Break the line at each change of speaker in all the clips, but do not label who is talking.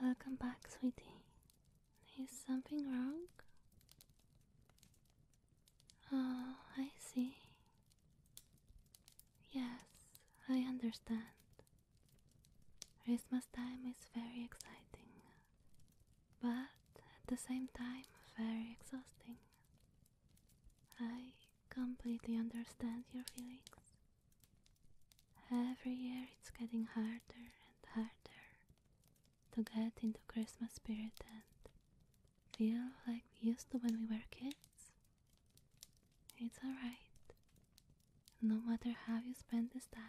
Welcome back, sweetie. Is something wrong? Oh, I see. Yes, I understand. Christmas time is very exciting, but at the same time, very exhausting. I completely understand your feelings. Every year it's getting harder and harder to get into Christmas spirit and feel like we used to when we were kids. It's alright. No matter how you spend this time,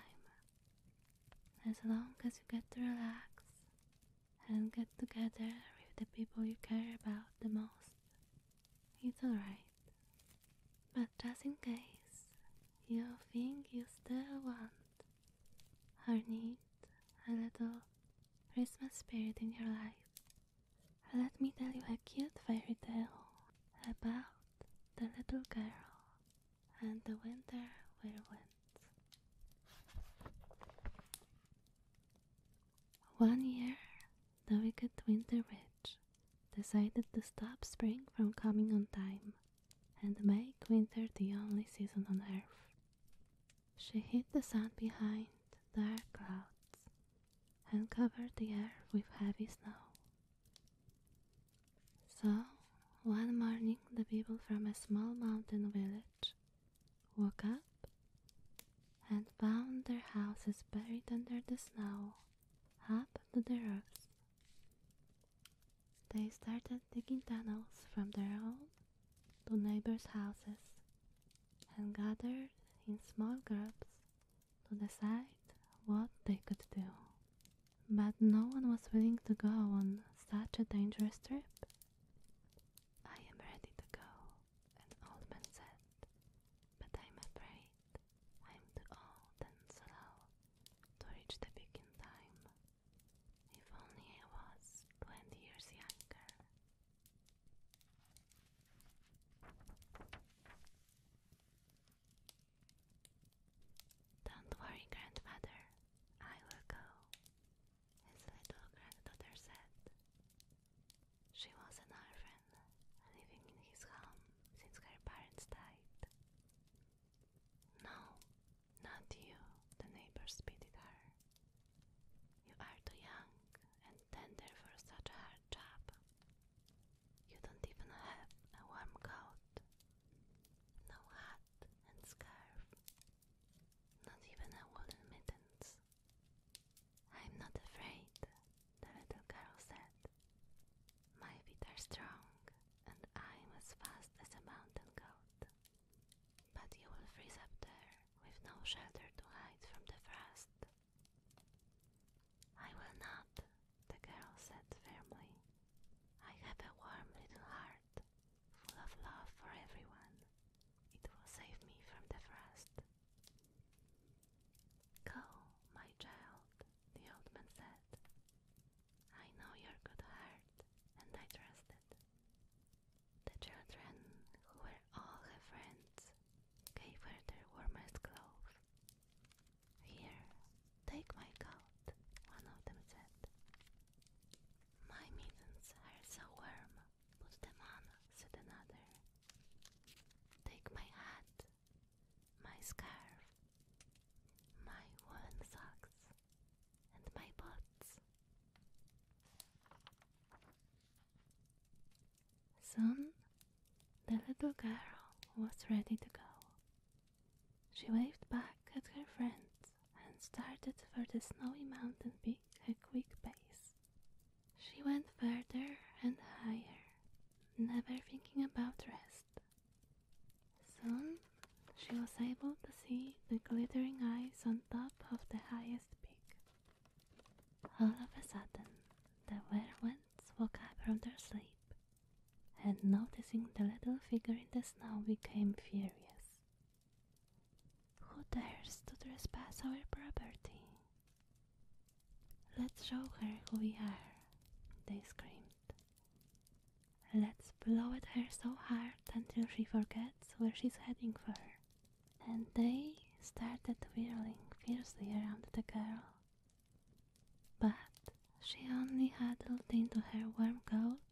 as long as you get to relax and get together with the people you care about the most. It's alright. But just in case you think you still want or need a little Christmas spirit in your life, let me tell you a cute fairy tale about the little girl and the winter wind. One year, the wicked Winter Witch decided to stop spring from coming on time and make winter the only season on earth. She hid the sun behind dark clouds and covered the air with heavy snow. So, one morning, the people from a small mountain village woke up, and found their houses buried under the snow up to the roofs. They started digging tunnels from their own to neighbors' houses and gathered in small groups to decide what they could do. But no one was willing to go on such a dangerous trip. I am ready to go, an old man said, but I'm afraid I'm too old and slow to reach the peak in time. If only I was twenty years younger. Don't worry, grandfather, I will go his little granddaughter said. She was an orphan, living in his home since her parents died. No, not you, the neighbors pitied her. You are too young and tender for such a hard job. You don't even have a warm coat, no hat and scarf not even a woolen mittens. I'm not afraid, the little girl said. My feet are strong, and I'm as fast as a mountain goat. But you will freeze up there with no shelter to hide from the frost. I will not, the girl said firmly. I have a warm little heart full of love for everyone. It will save me from the frost. Go, my child, the old man said. I know your good heart, and I trust it. The children, who were all her friends, gave her their warmest clothes. Here, take my coat, one of them said. My mittens are so warm. Put them on, said another. Take my hat, my scarf, my woolen socks, and my boots. Soon the little girl was ready to go. She waved back at her friends and started for the snowy mountain peak A quick pace. She went further and higher, never thinking about rest. Soon she was able to see the glittering ice on top of the highest peak. All of a sudden, the werewolves woke up from their sleep and noticing the little figure in the snow became furious. Who dares to trespass our property? Let's show her who we are, they screamed. Let's blow at her so hard until she forgets where she's heading for. And they started whirling fiercely around the girl. But she only huddled into her warm coat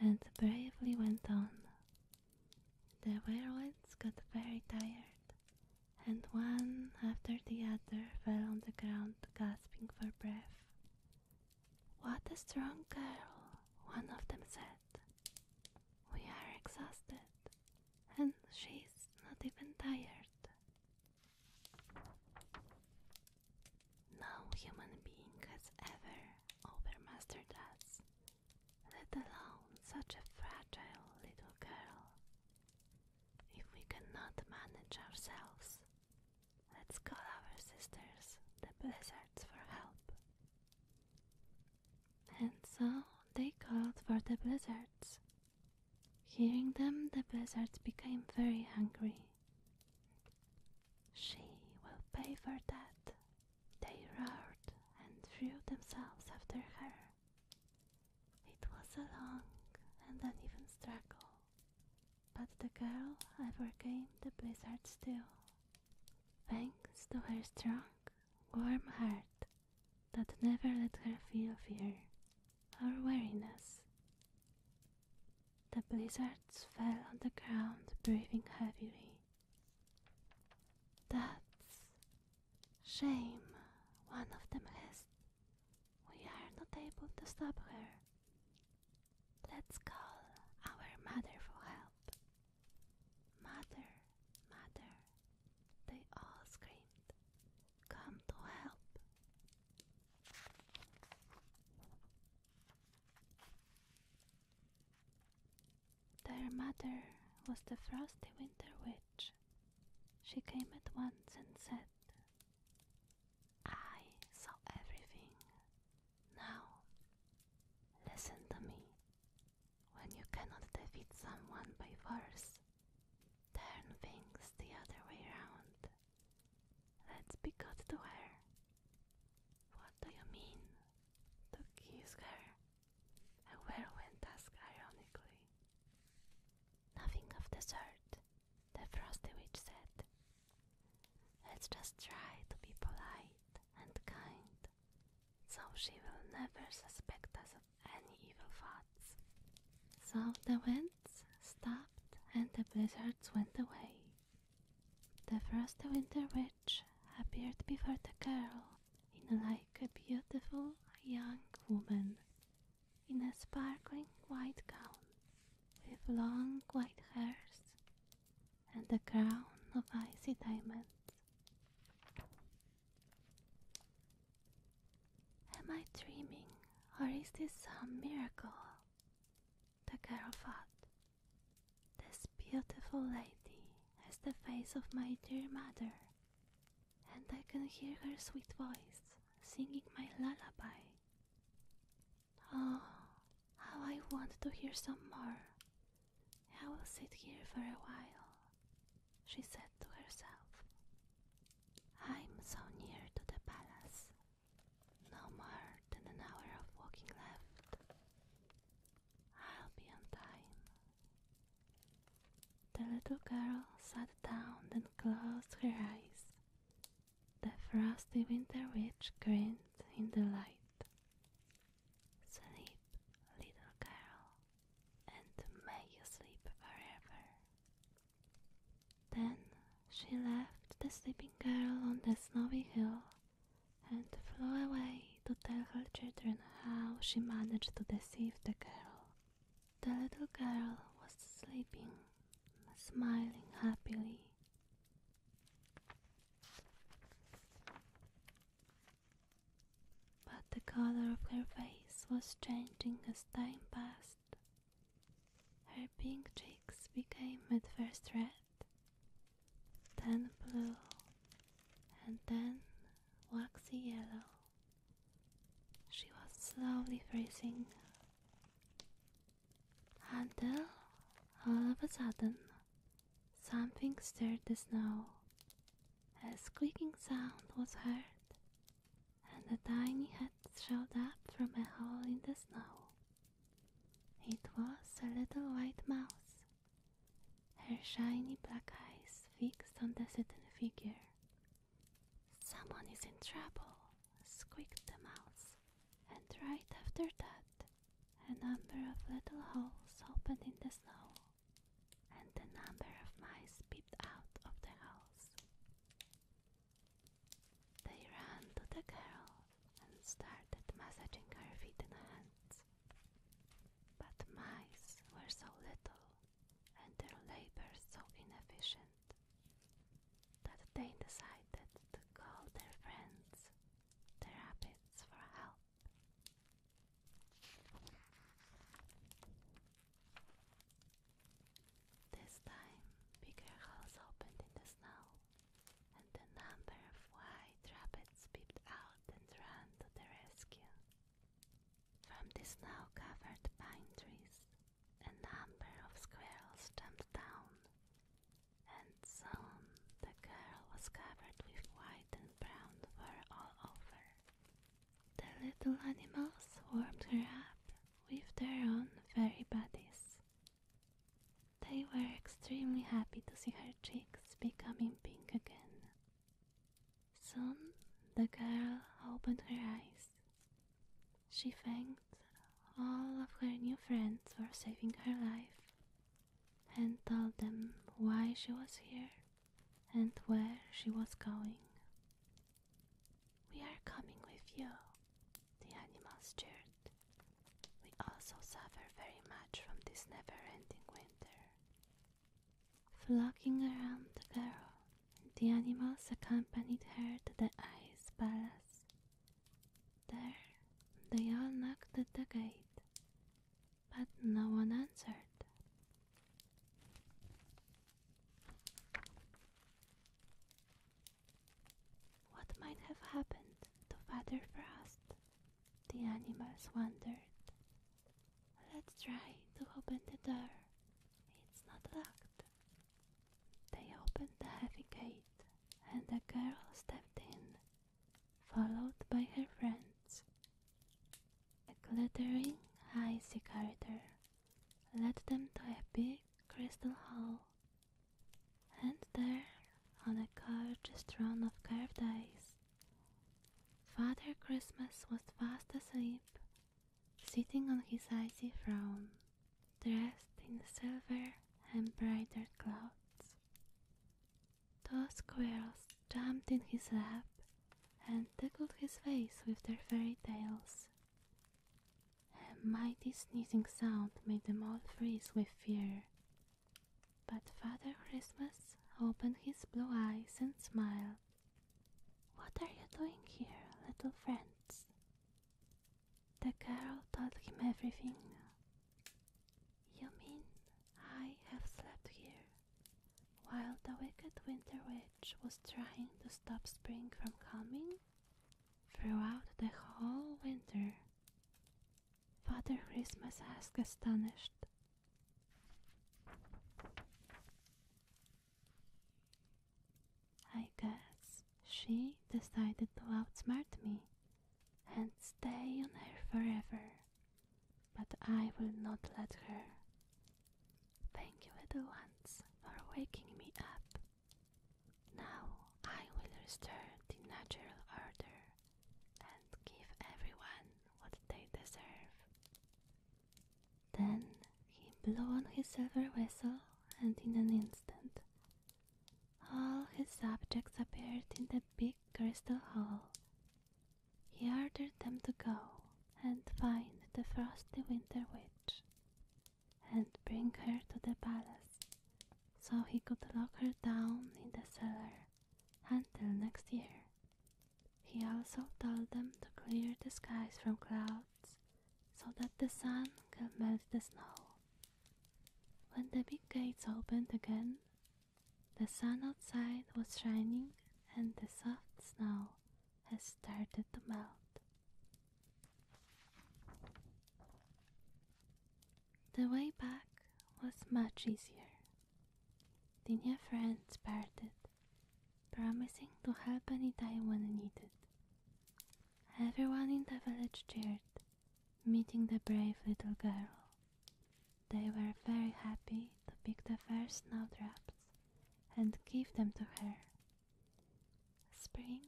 and bravely went on. The werewolves got very tired, and one after the other fell on the ground gasping for breath. What a strong girl, one of them said. We are exhausted, and she's not even tired. No human being has ever overmastered us, let alone such a fragile little girl. If we cannot manage ourselves, let's call our sisters, the blizzards, for help. And so they called for the blizzards. Hearing them, the blizzards became very hungry she will pay for that, they roared and threw themselves after her. It was a long and uneven struggle, but the girl overcame the blizzard still, thanks to her strong, warm heart that never let her feel fear our weariness. The blizzards fell on the ground, breathing heavily. That's shame, one of them has. We are not able to stop her. Let's call our mother for help. Mother, mother, they all screamed come to help. Their mother was the frosty winter witch. She came at once and said, I saw everything. Now, listen to me. When you cannot defeat someone by force, Turn things the other way round. Let's be good to her. What do you mean? To kiss her? A whirlwind asked ironically. Nothing of the sort, the frosty witch said. Let's just try to be polite and kind, so she will never suspect us of and evil thoughts. So the winds stopped and the blizzards went away. The first winter witch appeared before the girl in like a beautiful young woman in a sparkling white gown with long white hairs and a crown of icy diamonds. Am I dreaming, or is this some miracle? The girl thought. this beautiful lady, has the face of my dear mother, and I can hear her sweet voice singing my lullaby. Oh, how I want to hear some more! I will sit here for a while she said to herself. I'm so near to the palace. No more than an hour of walking left. I'll be on time. The little girl sat down and closed her eyes. The frosty winter witch grinned in the light. Sleep, little girl, and may you sleep forever. Then she left the sleeping girl on the snowy hill and flew away to tell her children how she managed to deceive the girl. The little girl was sleeping, smiling happily but the color of her face was changing as time passed. Her pink cheeks became at first red, then blue, and then waxy yellow. She was slowly freezing until all of a sudden something stirred the snow a squeaking sound was heard, and a tiny head showed up from a hole in the snow. It was a little white mouse, her shiny black eyes fixed on the sitting figure. Someone is in trouble, squeaked the mouse, and right after that, a number of little holes opened in the snow and the number of mice peeped out of the house. They ran to the girl and started massaging her feet and hands. But mice were so little and their labor so inefficient that they decided to call their friends, the rabbits, for help. This time, bigger holes opened in the snow, and a number of white rabbits peeped out and ran to the rescue. From the snow covered pine trees, a number of squirrels jumped down, and soon the girl was covered with white and brown fur all over. The little animals warmed her up with their own furry bodies. They were extremely happy to see her cheeks becoming pink again. Soon the girl opened her eyes. She thanked all of her new friends for saving her life and told them why she was here and where she was going. We are coming with you, the animals cheered. We also suffer very much from this never ending winter. Flocking around the girl, the animals accompanied her to the ice palace. There, they all knocked at the gate but no one answered. What might have happened to Father Frost? The animals wondered. Let's try to open the door. It's not locked. They opened the heavy gate, and the girl stepped in followed by her friends. A glittering high corridor led them to a big crystal hall, and there, on a couch strewn of carved ice, Father Christmas was fast asleep, sitting on his icy throne, dressed in silver and embroidered clothes. The squirrels jumped in his lap and tickled his face with their fairy tails. A mighty sneezing sound made them all freeze with fear. But Father Christmas opened his blue eyes and smiled. What are you doing here, little friends? The girl told him everything. You mean I have slept here while the wicked winter witch was trying to stop spring from coming? Throughout the whole winter. Father Christmas asked, astonished. I guess she decided to outsmart me and stay on her forever but I will not let her. Thank you, little ones, for waking me up. Now I will restore the natural order and give everyone what they deserve. Then he blew on his silver whistle, and in an instant all his objects appeared in the big crystal hall. He ordered them to go and find the frosty winter witch and bring her to the palace so he could lock her down in the cellar until next year. He also told them to clear the skies from clouds so that the sun could melt the snow when the big gates opened again, the sun outside was shining and the soft snow had started to melt. The way back was much easier. The new friends parted, promising to help anytime when needed. Everyone in the village cheered meeting the brave little girl. They were very happy to pick the first snowdrops and give them to her. Spring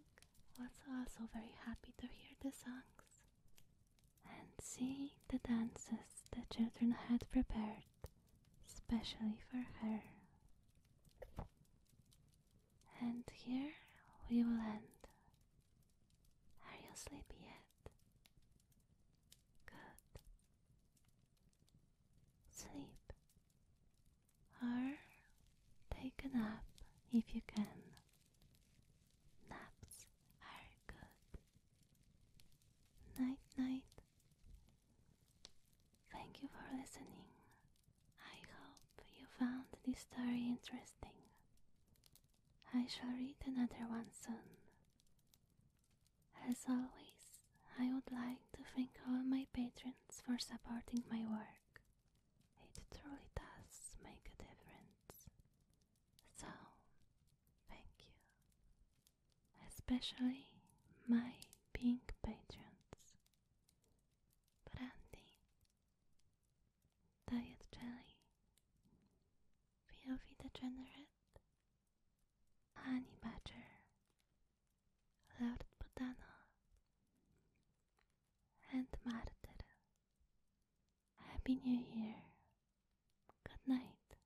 was also very happy to hear the songs and see the dances the children had prepared specially for her. And here we will end are you sleepy yet? Good. Sleep. Or take a nap if you can. Naps are good. Night, night. Thank you for listening. I hope you found this story interesting. I shall read another one soon. As always, I would like to thank all my patrons for supporting my work. It truly does make a difference. So, thank you. Especially my pink patrons. Brandy, Diet Jelly, POV Degenerate, Honey Badger, Lord Botano, and Martyr. Happy New Year. Good night.